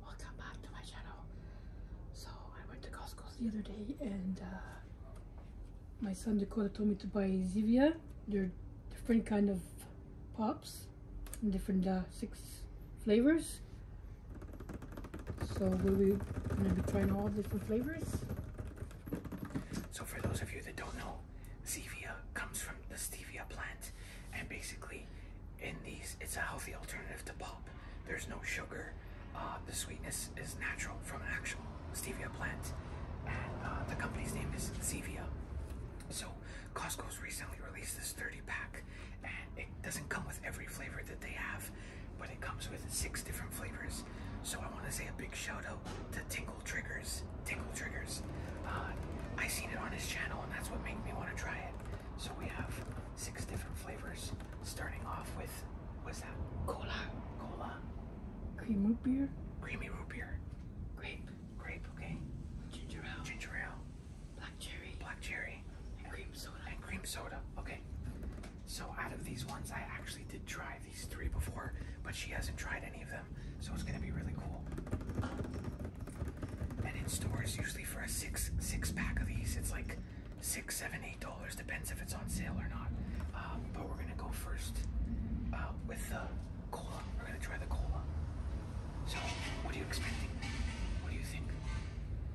Welcome back to my channel. So I went to Costco the other day and uh, my son Dakota told me to buy Zevia. They're different kind of pops, different uh, six flavors. So we'll be trying all different flavors. So for those of you that don't know, Zevia comes from the stevia plant and basically in these it's a healthy alternative to pop there's no sugar uh, the sweetness is natural from an actual stevia plant and uh, the company's name is Stevia. so Costco's recently released this 30 pack and it doesn't come with every flavor that they have but it comes with six different flavors so I want to say a big shout out to Tingle Triggers Tingle triggers. Uh, I seen it on his channel, and that's what made me want to try it. So we have six different flavors, starting off with what's that? Cola, cola, cream root beer, creamy root beer, grape, grape, okay, ginger ale, ginger ale, black cherry, black cherry, and, cream soda, and cream soda, okay. So out of these ones, I actually did try these three before, but she hasn't tried any of them so it's gonna be really cool. And in stores, usually for a six six pack of these, it's like six, seven, eight dollars. Depends if it's on sale or not. Um, but we're gonna go first uh, with the cola. We're gonna try the cola. So, what are you expecting? What do you think?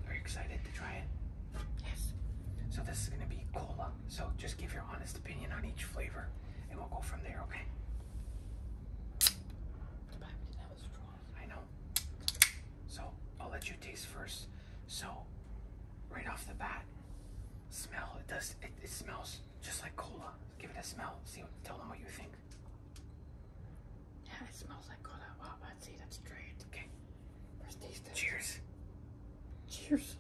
Are you excited to try it? Yes. So this is gonna be cola. So just give your honest opinion on each flavor, and we'll go from there. Okay. I know. So I'll let you taste first. So right off the bat, smell. It does. It, it smells just like cola. Give it a smell. See. Tell them what you think. Yeah, it smells like cola. Wow, I'd that's great. Okay. First taste Cheers. Cheers.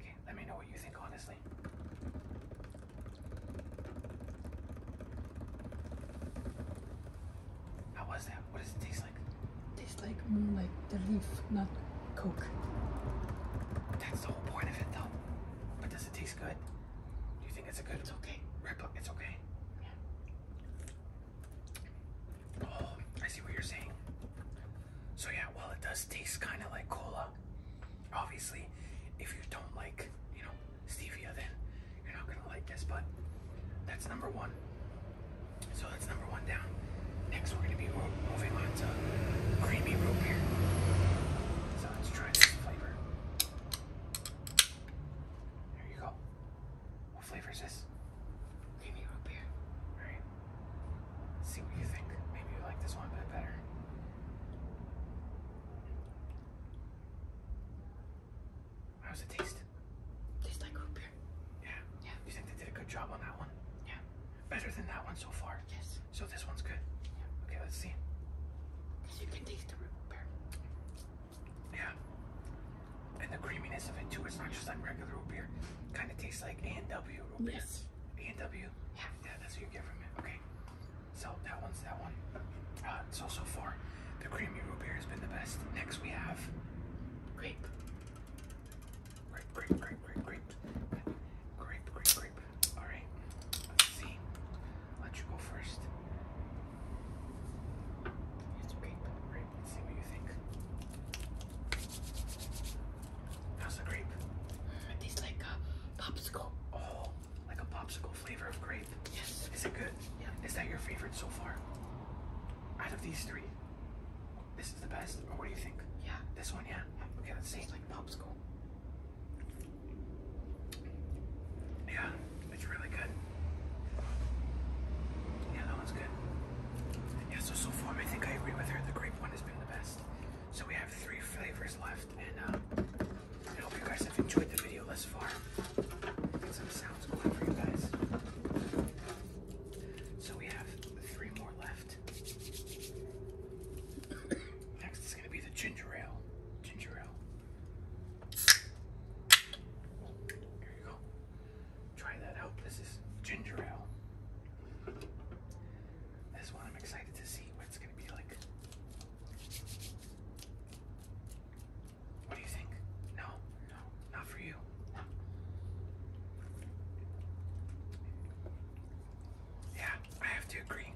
Okay, let me know what you think, honestly. How was that? What does it taste like? Tastes like moonlight, the leaf, not coke. That's the whole point of it, though. But does it taste good? Do you think it's a good? It's okay. Replica, it's okay. Oh, I see what you're saying. So yeah, well it does taste kind of like cola. Obviously, if you don't like, you know, stevia, then you're not gonna like this. But that's number one. So that's number one down. Next, we're gonna be moving on to creamy root beer. So let's try this flavor. There you go. What flavor is this? Creamy root beer. All right. See what you think. Maybe you like this one a bit better. How's it taste? Tastes like root beer. Yeah. Yeah. You think they did a good job on that one? Yeah. Better than that one so far. Yes. So this one's good. Yeah. Okay, let's see. you can taste the root beer. Yeah. And the creaminess of it too. It's not just like regular root beer. Kind of tastes like A root beer. Yes b and W. Yeah. that's what you get from it. Okay. So that one's that one. Uh, so so far, the creamy root beer has been the best. Next we have grape. Grape, grape, grape, grape, grape. Grape, grape, Alright. Let's see. let you go first. It's grape. Grape. Let's see what you think. How's the grape? it tastes like a popsicle. Oh, like a popsicle flavor of grape. Yes. Is it good? Yeah. Is that your favorite so far? Out of these three, this is the best. Or what do you think? Yeah. This one, yeah. Okay, It tastes like popsicle. Yeah, it's really good. Yeah, that one's good. Yeah, so so far I think I agree with her. The grape one has been the best. So we have three flavors left, and uh, I hope you guys have enjoyed the video thus far. some sounds going for you guys. So we have three more left. Next is gonna be the ginger ale. Ginger ale. Here you go. Try that out. This is ginger ale. This one I'm excited to see what it's going to be like. What do you think? No, no, not for you. Yeah, I have to agree.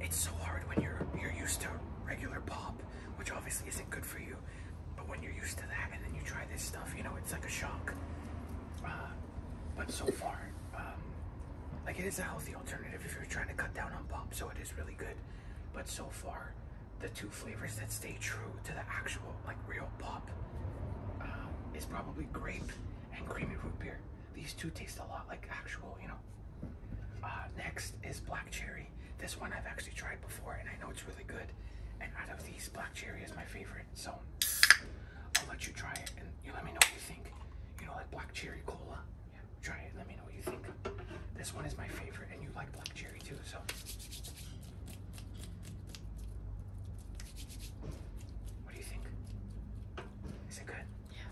It's so hard when you're you're used to regular pop, which obviously isn't good for you. But when you're used to that and then you try this stuff, you know, it's like a shock. Uh, but so far, um, like it is a healthy alternative if you're trying to cut down on pop, so it is really good. But so far, the two flavors that stay true to the actual, like real pop, uh, is probably grape and creamy root beer. These two taste a lot like actual, you know. Uh, next is black cherry this one I've actually tried before and I know it's really good. And out of these, black cherry is my favorite. So I'll let you try it and you let me know what you think. You know, like black cherry cola. Yeah, try it. Let me know what you think. This one is my favorite, and you like black cherry too. So. What do you think? Is it good? Yeah.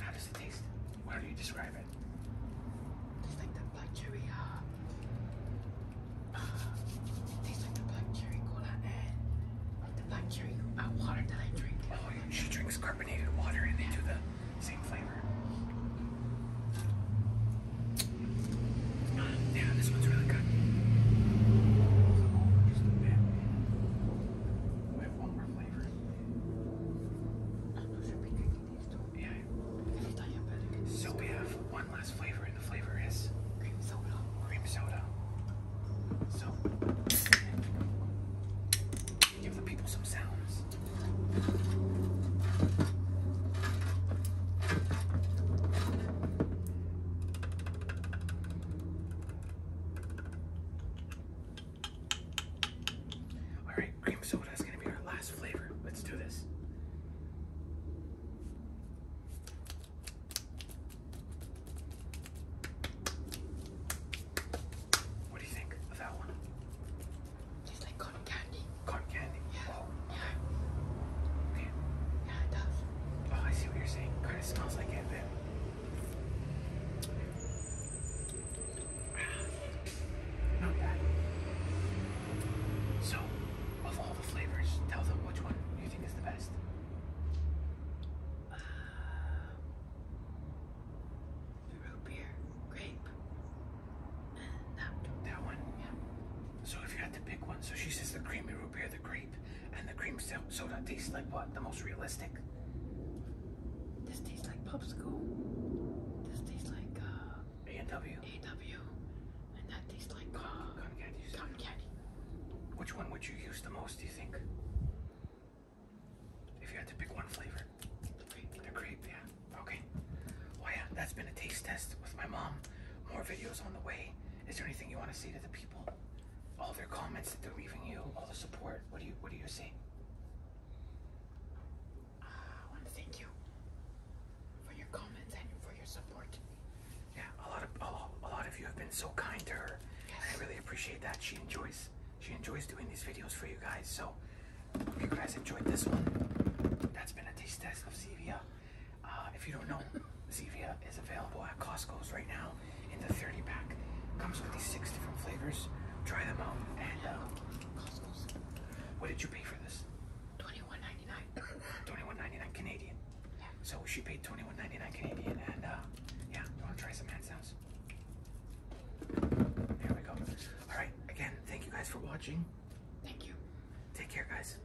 How does it taste? How do you describe it? Tastes like the black cherry. Uh, tastes like the black cherry cola and the black cherry uh, water that I drink. Oh, she drinks carbonated water and they do the same flavor. yeah, this one's really good. We have one more flavor. So we have one last flavor, and the flavor is cream soda. Cream soda. So give the people some sounds. All right, cream soda is gonna be our last flavor. Let's do this. What do you think of that one? Tastes like cotton candy. Cotton candy? Yeah. Oh. Yeah. Man. Yeah, it does. Oh, I see what you're saying. Kind of smells like it, then. So, of all the flavors, tell them which one you think is the best. Uh, the root beer, grape, and that, that one. So if you had to pick one, so she says the creamy root beer, the grape, and the cream soda tastes like what? The most realistic. This tastes like popsicle. This tastes like uh, A and W. A W, and that tastes like uh, candy. Cotton candy. Which one would you use the most? Do you think? If you had to pick one flavor. The grape. The grape, yeah. Okay. Well, yeah, that's been a taste test with my mom. More videos on the way. Is there anything you want to say to the people? all their comments that they're leaving you, all the support. What do you What do you see? Uh, I want to thank you for your comments and for your support. Yeah, a lot of a, lot, a lot of you have been so kind to her. Yes. I really appreciate that. She enjoys she enjoys doing these videos for you guys. So hope you guys enjoyed this one, that's been a taste test of Sevia. Uh, if you don't know, Zevia is available at Costco's right now in the 30 pack. Comes with these six different flavors. Try them out. And uh, what did you pay for this? Twenty-one ninety-nine. Twenty-one ninety-nine Canadian. Yeah. So she paid twenty-one ninety-nine Canadian, and uh, yeah, you want to try some hand sounds? There we go. All right. Again, thank you guys for watching. Thank you. Take care, guys.